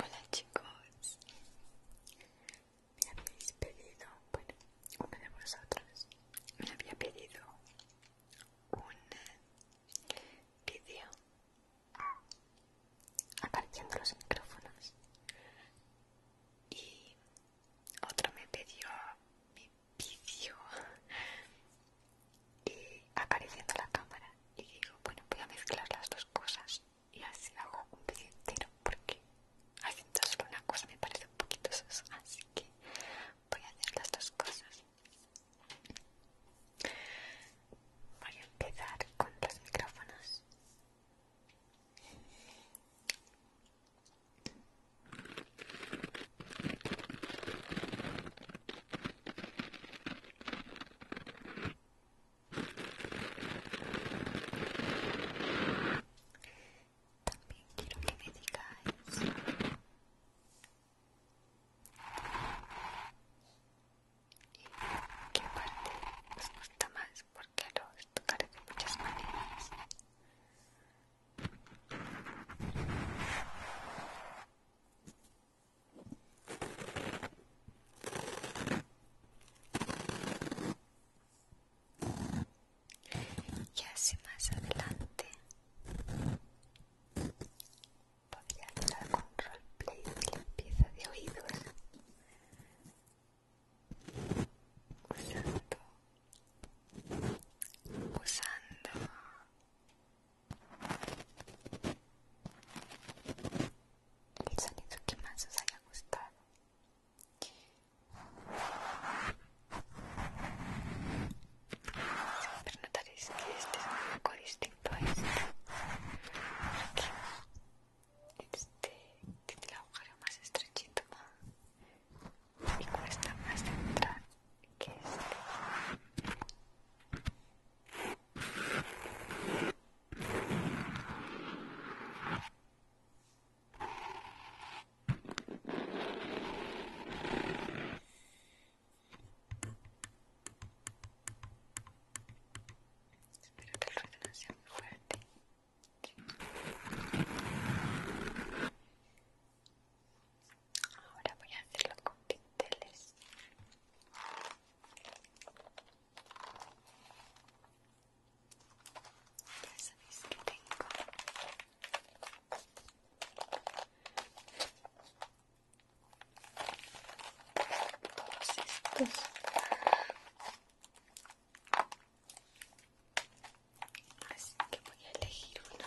Hola chicos, me habéis pedido, bueno, uno de vosotros me había pedido un vídeo apareciendo los micrófonos y otro me pidió mi vídeo y acariciando la cámara y digo, bueno, voy a mezclar las dos cosas y así hago un vídeo entero porque haciendo solo una cosa me parece un poquito sosa, así que voy a hacer las dos cosas. Voy a empezar con los micrófonos. También quiero que me digáis qué parte os gusta más, porque los tocaré de muchas maneras. Y así más adelante podría hacer algún roleplay de limpieza de oídos usando usando el sonido que más os haya gustado siempre notaréis que este es un poco distinto a este este tiene el agujero más estrechito más y cuesta más entrar que este Espero que el ruido no sea muy fuerte. Ahora voy a hacerlo con pinteles. Ya sabéis que tengo todos estos así que voy a elegir uno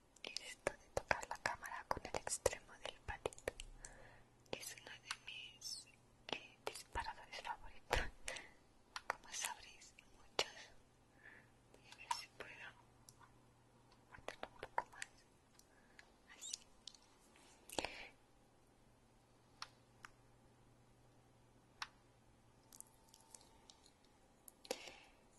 y esto de tocar la cámara con el extremo del patito es uno de mis eh, disparadores favoritos como sabréis muchos voy a ver si puedo un poco más así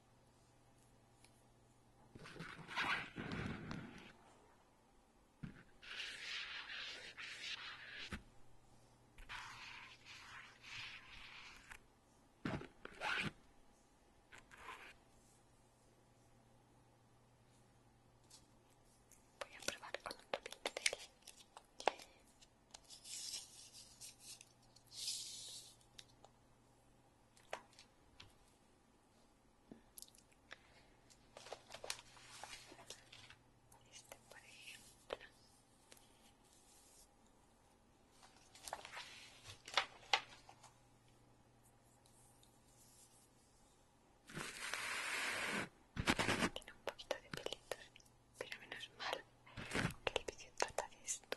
Voy a probar con otro pincel. Este, por ejemplo. Tiene un poquito de pelitos, pero menos mal que el vídeo trata esto.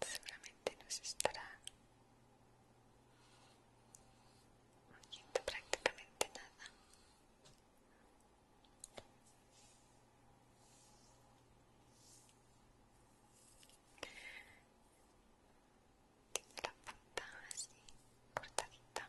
Seguramente se estará oyendo prácticamente nada tiene la fantasía cortadita.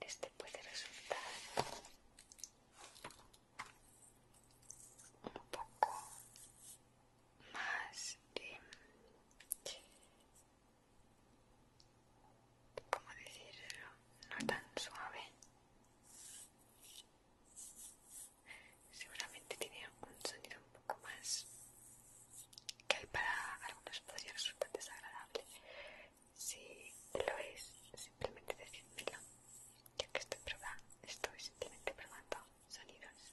este puede resultar un poco más ¿Cómo decirlo? No tan suave. Seguramente tiene un sonido un poco más que para algunos podría resultar desagradable, si lo es, simplemente decídmelo. Yo que estoy probando, estoy simplemente probando sonidos.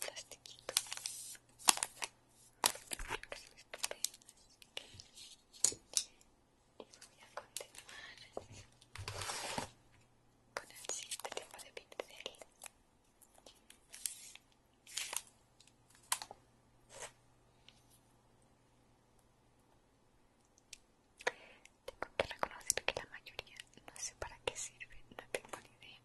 plastiquito y voy a continuar con el siguiente tipo de pincel tengo que reconocer que la mayoría no sé para qué sirve, no tengo ni idea.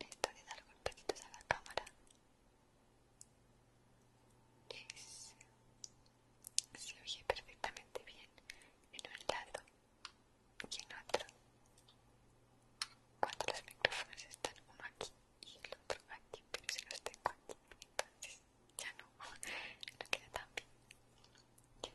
Esto de dar golpecitos a la cámara. Yes. Se oye perfectamente bien en un lado y en otro. Cuando los micrófonos están uno aquí y el otro aquí, pero si los tengo aquí, entonces ya no, no queda tan bien.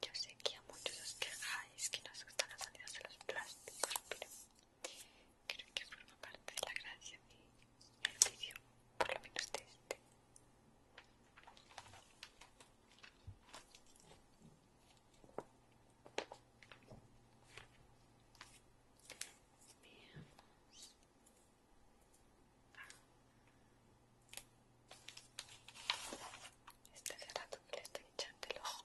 Yo sé que a muchos os quejáis que nos gustan las salidas de los plásticos, pero creo que forma parte de la gracia del el vídeo, por lo menos de este. Veamos. Ah, este cerrado que le estoy echando el ojo.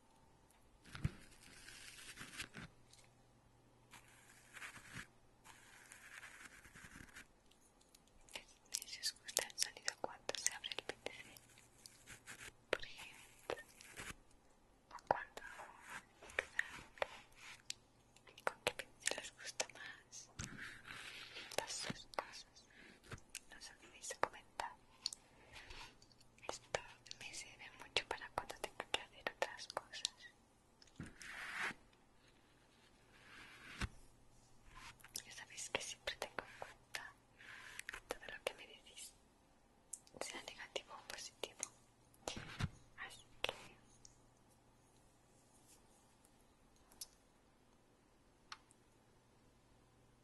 Si os gusta el sonido cuando se abre el PC, por ejemplo, o cuando con qué pincel les gusta más, todas esas cosas, no os olvidéis comentar. Esto me sirve mucho para cuando tenga que hacer otras cosas. Ya sabéis que siempre tengo en cuenta todo lo que me decís, sea negativo o positivo. Así que...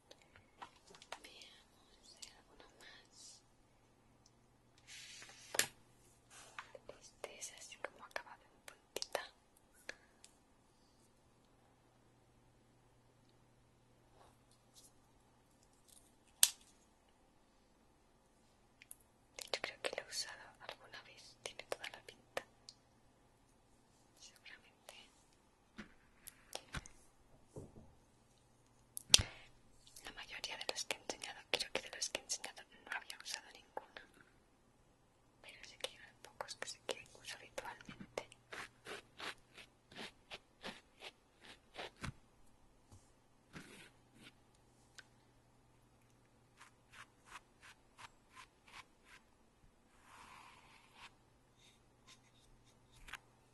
Veamos alguno más. Este es así como acabado en puntita. hecho creo que lo he usado alguna vez, tiene toda la pinta. Seguramente. La mayoría de los que he enseñado, creo que de los que he enseñado no había usado ninguno. Pero sé que hay pocos que se que uso habitualmente.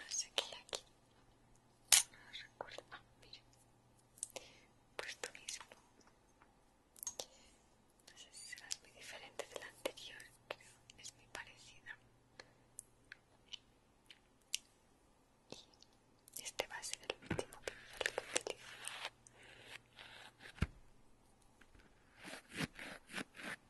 no sé qué aquí no recuerdo ah mira pues tú mismo no sé si será muy diferente de la anterior creo es muy parecida y este va a ser el último que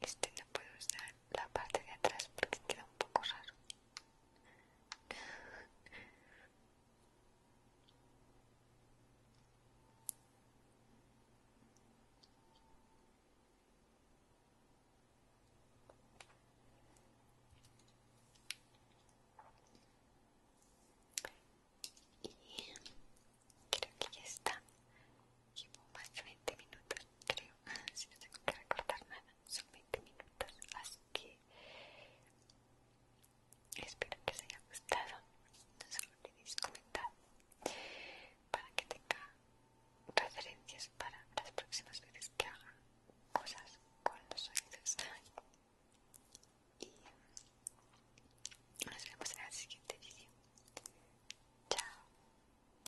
Este no puedo usar la parte de atrás porque queda un poco raro. Y creo que ya está llevo más de 20 minutos, creo, ah, si no tengo que recortar nada, son 20 minutos, así que espero que os haya gustado, no os olvidéis comentar para que tenga referencias para las próximas veces que haga cosas con los oídos y nos vemos en el siguiente vídeo chao